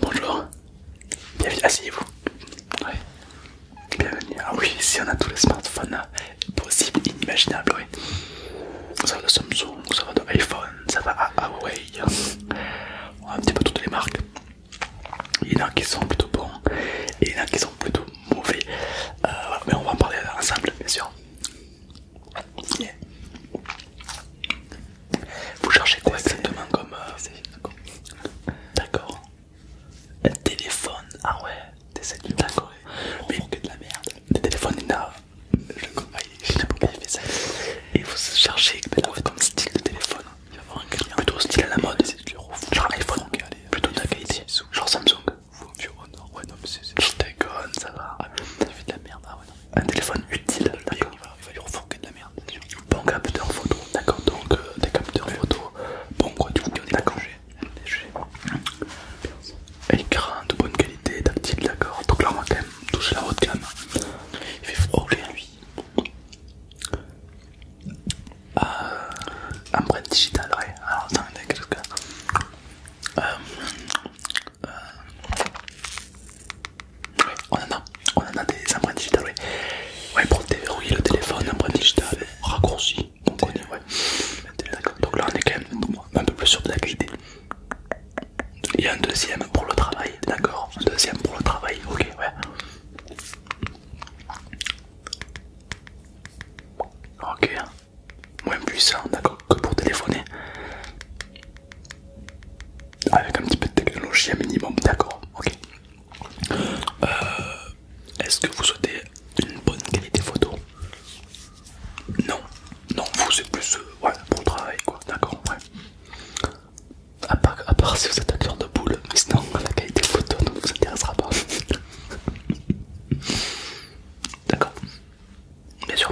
Bonjour, bienvenue, asseyez-vous. oui, Bienvenue. Ah oui, ici on a tous les smartphones euh, possibles, inimaginables, Ça va de Samsung, ça va de iPhone, ça va à Huawei. On a un petit peu toutes les marques. Il y en a qui sont plutôt bons et il y en a qui sont plutôt mauvais. Euh, mais on va en parler ensemble, bien sûr. Vous cherchez quoi exactement comme... Euh... D'accord. Un téléphone. Ah ouais. Des cellules. D'accord. Mais que de la merde. Des téléphones, il Je comprends, il fait ça. Et vous cherchez comme style de téléphone. Il va avoir un client. Plutôt style à la mode. Genre iPhone. Plutôt de la qualité. Genre Samsung. Ou un Ouais, non, mais c'est. Je ça va. Ah, fait de la merde. Ah, ouais, non. Un téléphone utile, d'accord. Il, va lui refourquer de la merde. Bon capteur photo, d'accord. Donc, euh, des capteurs photo. Bon, quoi, du coup, d'accord. Écran de bonne qualité, tactile, d'accord. Donc là, on va quand même toucher la haute gamme. Il fait froid, lui. Hein. Euh, empreinte digital, ouais. Alors, attends, qu'est-ce que. Euh, euh, on en a, des empreintes digitales, ouais. pour déverrouiller le téléphone, empreintes digitales, raccourci, Donc là, on est quand même un peu plus sûr de la qualité. Il y a un deuxième pour le travail, d'accord Un deuxième pour le travail, ok, ouais. Ok, moins puissant, d'accord, que pour téléphoner. Avec un petit peu de technologie, minimum, d'accord, ok. Euh, est-ce que vous souhaitez une bonne qualité photo Non, non, vous c'est plus euh, pour le travail, quoi, d'accord, ouais. À part, si vous êtes un de boule, mais sinon la qualité photo ne vous intéressera pas. D'accord. Bien sûr.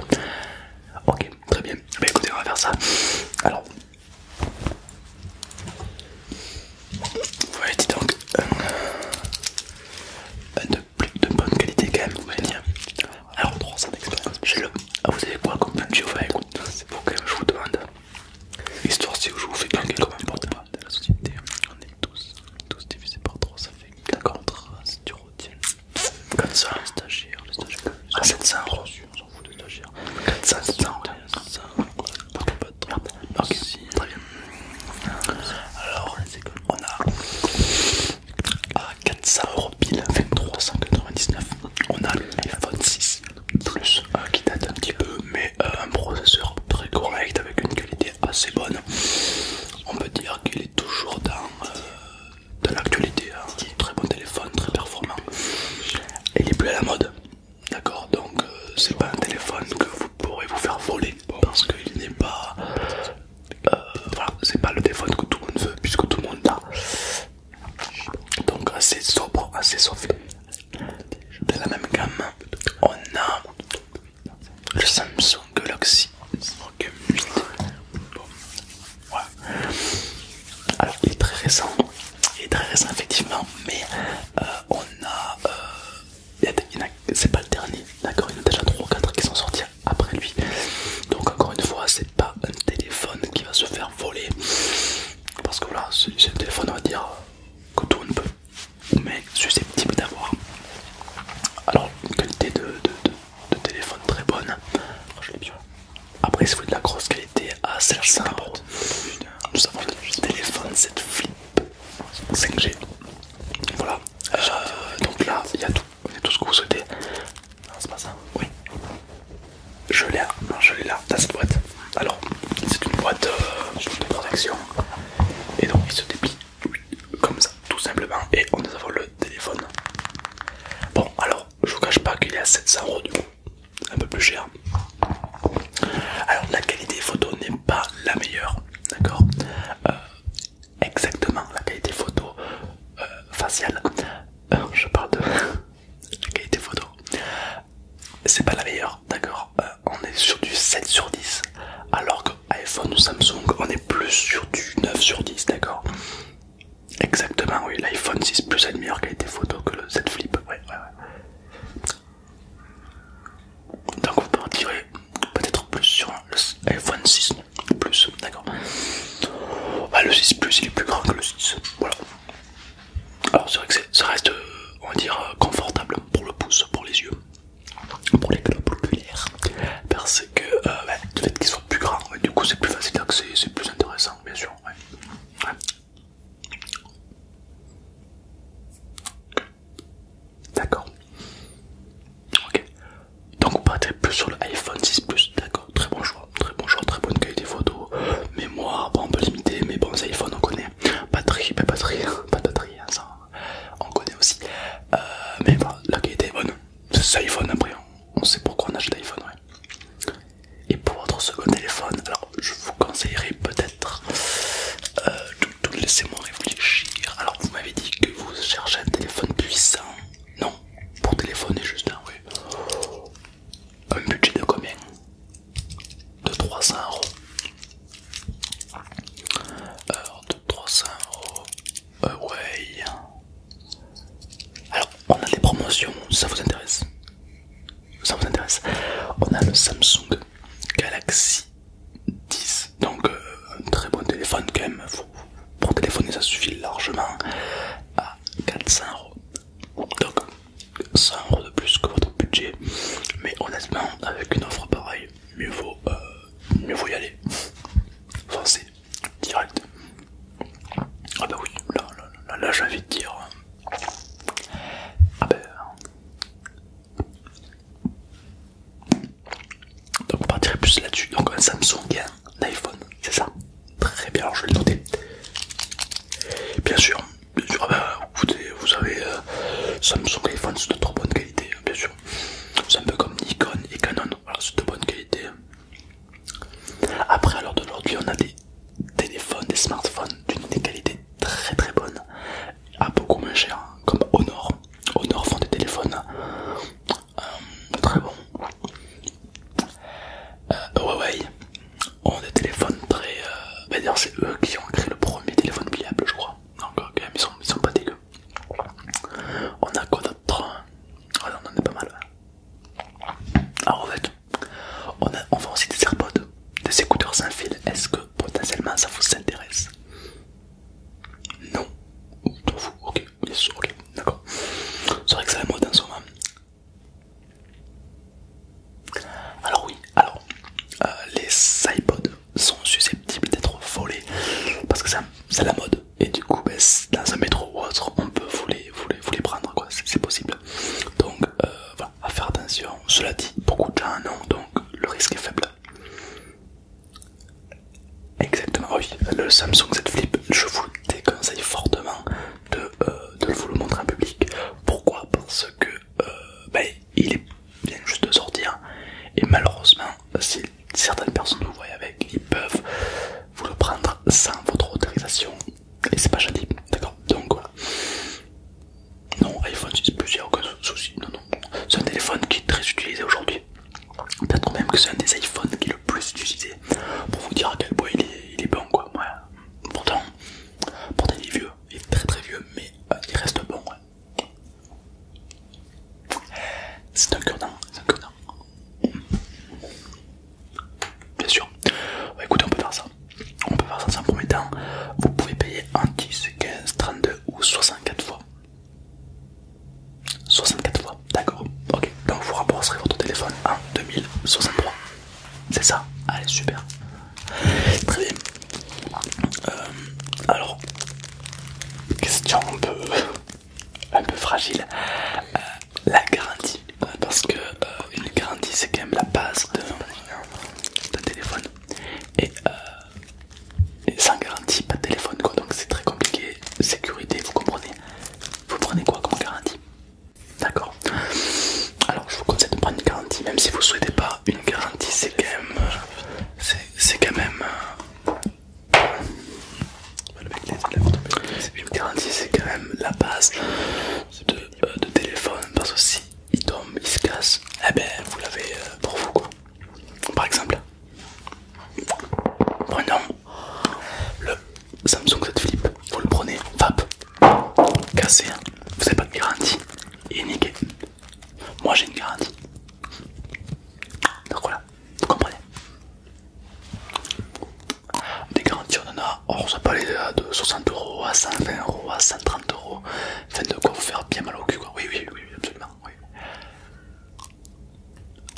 Ok, très bien. Bah écoutez, on va faire ça. Alors. voyez, dis donc. Un, euh, de, plus, de bonne qualité quand même, vous dire. Alors, 300 d'expérience. J'ai le. Ah, vous avez quoi comme plan de écoute C'est pour que je vous demande. Histoire si je vous fais gagner quand même de la société, on est tous, divisés divisé par 3, ça fait 4 si tu retiennes 400 Le stagiaires, Ah 700 euros. On s'en fout de stagiaires 400, euros. 400 Ok, très bien. Alors, on a à 400 euros pile, 2399. On a l'iPhone 6 Plus qui date un petit peu, mais euh, un processeur très correct avec une qualité assez bonne. On peut dire qu'il est toujours dans, euh, l'actualité. Hein. Très bon téléphone, très performant. Il est plus à la mode, d'accord Donc, euh, c'est pas un téléphone que vous pourrez vous faire voler parce qu'il n'est pas. c'est pas le téléphone que tout le monde veut puisque tout le monde a Donc, assez sobre, assez soft. De la même gamme, on a le Samsung Galaxy m 8. Alors il est très récent, il est très récent effectivement, mais euh, on euh, a, c'est pas le dernier, d'accord, il y en a déjà 3 ou 4 qui sont sortis après lui. Donc encore une fois, c'est pas un téléphone qui va se faire voler parce que voilà, c'est un téléphone, on va dire, que tout ne peut, mais susceptible d'avoir. Alors, une qualité de, téléphone très bonne. Après, si vous de la grosse qualité à tout euh, nous avons le téléphone 7 flip 5G. Voilà, euh, donc là, il y a tout, il y a tout ce que vous souhaitez. c'est pas ça. Oui. Je l'ai là, je dans cette boîte. Alors, c'est une boîte euh, de protection et donc il se déplie comme ça, tout simplement. Et on nous le téléphone. Bon, alors je vous cache pas qu'il est à 700 euros du coup, un peu plus cher. Alors, la qualité photo n'est pas la meilleure, d'accord euh, Exactement, la qualité photo euh, faciale. je parle de. la qualité photo c'est pas la meilleure d'accord euh, on est sur du 7 sur 10 alors que iPhone ou Samsung on est plus sur du 9 sur 10 d'accord exactement oui l'iPhone 6 plus a une meilleure qualité photo que le Z Flip ouais, ouais, ouais. donc vous partirez peut-être plus sur l'iPhone 6 plus d'accord Ah, le 6 plus il est plus grand que le 6 voilà alors c'est vrai que ça reste, euh, on va dire, euh, confortable pour le pouce, pour les yeux, pour les globes parce que euh, bah, le fait qu'ils soient plus grands, du coup c'est plus facile d'accès, c'est plus intéressant, bien sûr. D'accord. Ok. Donc on partirait plus sur le iPhone 6 Plus, d'accord, très bon choix très bon très bonne qualité photo. Mémoire, bon, peu peu mais bon, iPhone on connaît. Batterie, pas ben, batterie, pas de batterie, hein, on connaît aussi. Euh, mais voilà, la qualité est bonne. C'est iPhone après, on sait pourquoi on achète iPhone, Et pour votre second téléphone, alors je vous conseillerais peut-être euh, laissez-moi réfléchir. Alors vous m'avez dit que vous cherchez un téléphone puissant. Non, pour téléphoner juste, un Un budget de combien De 300 euros. Alors, de 300 euros. Euh, ouais. Alors, on a des promotions, ça vous intéresse Ça vous intéresse On a le Samsung Galaxy 10, donc euh, un très bon téléphone quand même, pour téléphoner ça suffit largement à 400 euros donc 100 euros de plus que votre budget mais honnêtement avec une offre pareille mieux vaut euh, mieux vaut y aller c'est direct ah bah oui là là là j'ai envie de dire hein. ah bah, donc on partirait plus là-dessus. Donc un Samsung et un iPhone, c'est ça Très bien, alors je vais le noter. Bien sûr, ah bah, vous, savez, euh, Samsung et iPhone c'est de trop bonne qualité, hein, bien sûr. C'est un peu comme Nikon et Canon, c'est de bonne qualité. Hein. Après, à l'heure d'aujourd'hui, on a des téléphones, des smartphones d'une qualité très très bonne, à ah, beaucoup moins cher, hein, comme Honor. Honor font des téléphones euh, très bon. Euh, Huawei ont des téléphones très. Euh, bah, c'est eux qui ont créé le premier téléphone pliable, je crois. Donc, ils sont, pas dégueux. On a quoi d'autre ah, On en a pas mal. Alors, ah, en fait, on, a, on vend aussi des AirPods, des écouteurs sans fil. Est-ce que potentiellement ça vous intéresse non. ok, d'accord. C'est vrai que c'est la mode en ce moment. Alors oui, alors, euh, les iPods sont susceptibles d'être volés parce que c'est la mode et du coup ben, dans un métro ou autre on peut vous les, prendre quoi, c'est possible. Donc euh, voilà, à faire attention, cela dit, beaucoup de gens en ont donc le risque est faible. Exactement, oui, le Samsung Z Flip, je vous déconseille fortement de, euh, vous le montrer en public. Pourquoi Parce que euh, ben, il est juste de sortir et malheureusement, si certaines personnes vous voient avec, ils peuvent vous le prendre sans votre autorisation et c'est pas gentil, d'accord Donc voilà. Non, iPhone 6 Plus, il n'y a aucun souci, non, non, c'est un téléphone qui est très utilisé aujourd'hui. Peut-être même que c'est un des iPhones qui est le plus utilisé pour vous dire à quel point il est, bon quoi. Pourtant, pourtant il est vieux, il est très très vieux, mais euh, il reste bon. C'est un cure c'est Bien sûr. Bah, écoutez, on peut faire ça. On peut faire ça sans premier temps. Vous pouvez payer en 10, 15, 32 ou 64 fois. 64 fois, d'accord. Ok, donc vous rembourserez votre téléphone en 2063. C'est ça Allez, super. Très bien. Euh, alors, question un peu, un peu fragile. Euh, la garantie. Euh, parce que une garantie, c'est quand même la base d'un téléphone. Et et sans garantie, pas de téléphone quoi, donc c'est très compliqué. Sécurité, vous comprenez Vous prenez quoi comme garantie D'accord Alors je vous conseille de prendre une garantie, même si vous souhaitez pas une garantie, c'est quand même. Euh, c'est quand même. Euh, une garantie, c'est quand même la base de, euh, de téléphone parce que il tombe, il se casse, eh ben vous l'avez euh, pour vous quoi. Par exemple, prenons le Samsung Z Flip, vous le prenez, vape cassé, hein. vous n'avez pas de garantie, il est niqué. Moi j'ai une garantie. Donc voilà, vous comprenez. Des garanties on en a, ça peut aller de 60 euros à 120 euros à 130 euros Enfin de quoi vous faire bien mal au cul quoi. Oui oui oui, absolument. Oui.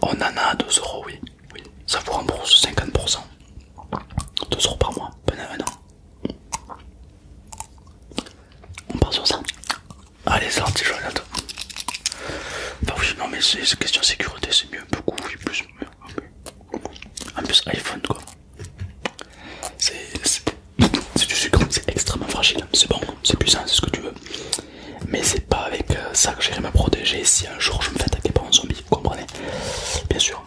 On en a à euros oui. oui. Ça vous rembourse 50%. 2 euros par mois pendant un On part sur ça. Allez c'est parti je Bah oui non mais c'est question sécurité c'est mieux beaucoup oui plus. En plus iPhone quoi. C'est du sucre, c'est extrêmement fragile, c'est bon, c'est puissant, c'est ce que tu veux. Mais c'est pas avec euh, ça que j'irai me protéger si un jour je me fais attaquer par un zombie, vous comprenez Bien sûr.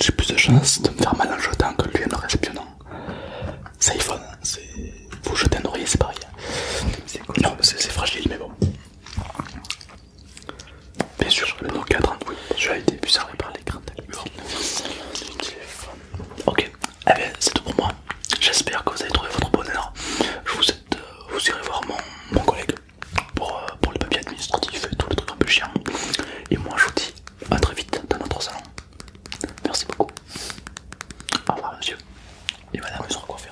J'ai plus de chance de me faire mal en jetant que lui en réceptionnant. C'est iPhone, Vous jetez un oreiller, c'est pareil. Non, c'est fragile, mais bon. Bien sûr, le nom 4, je été par l'écran de le téléphone. Ok, eh bien c'est tout pour moi. J'espère que vous avez trouvé votre bonheur. Je vous irai euh, vous irez voir mon, collègue pour, les euh, pour le papier administratif et tout le truc un peu chiant. Et moi je vous dis à très vite dans notre salon. Merci beaucoup. Au revoir monsieur. Et madame, ils sont quoi faire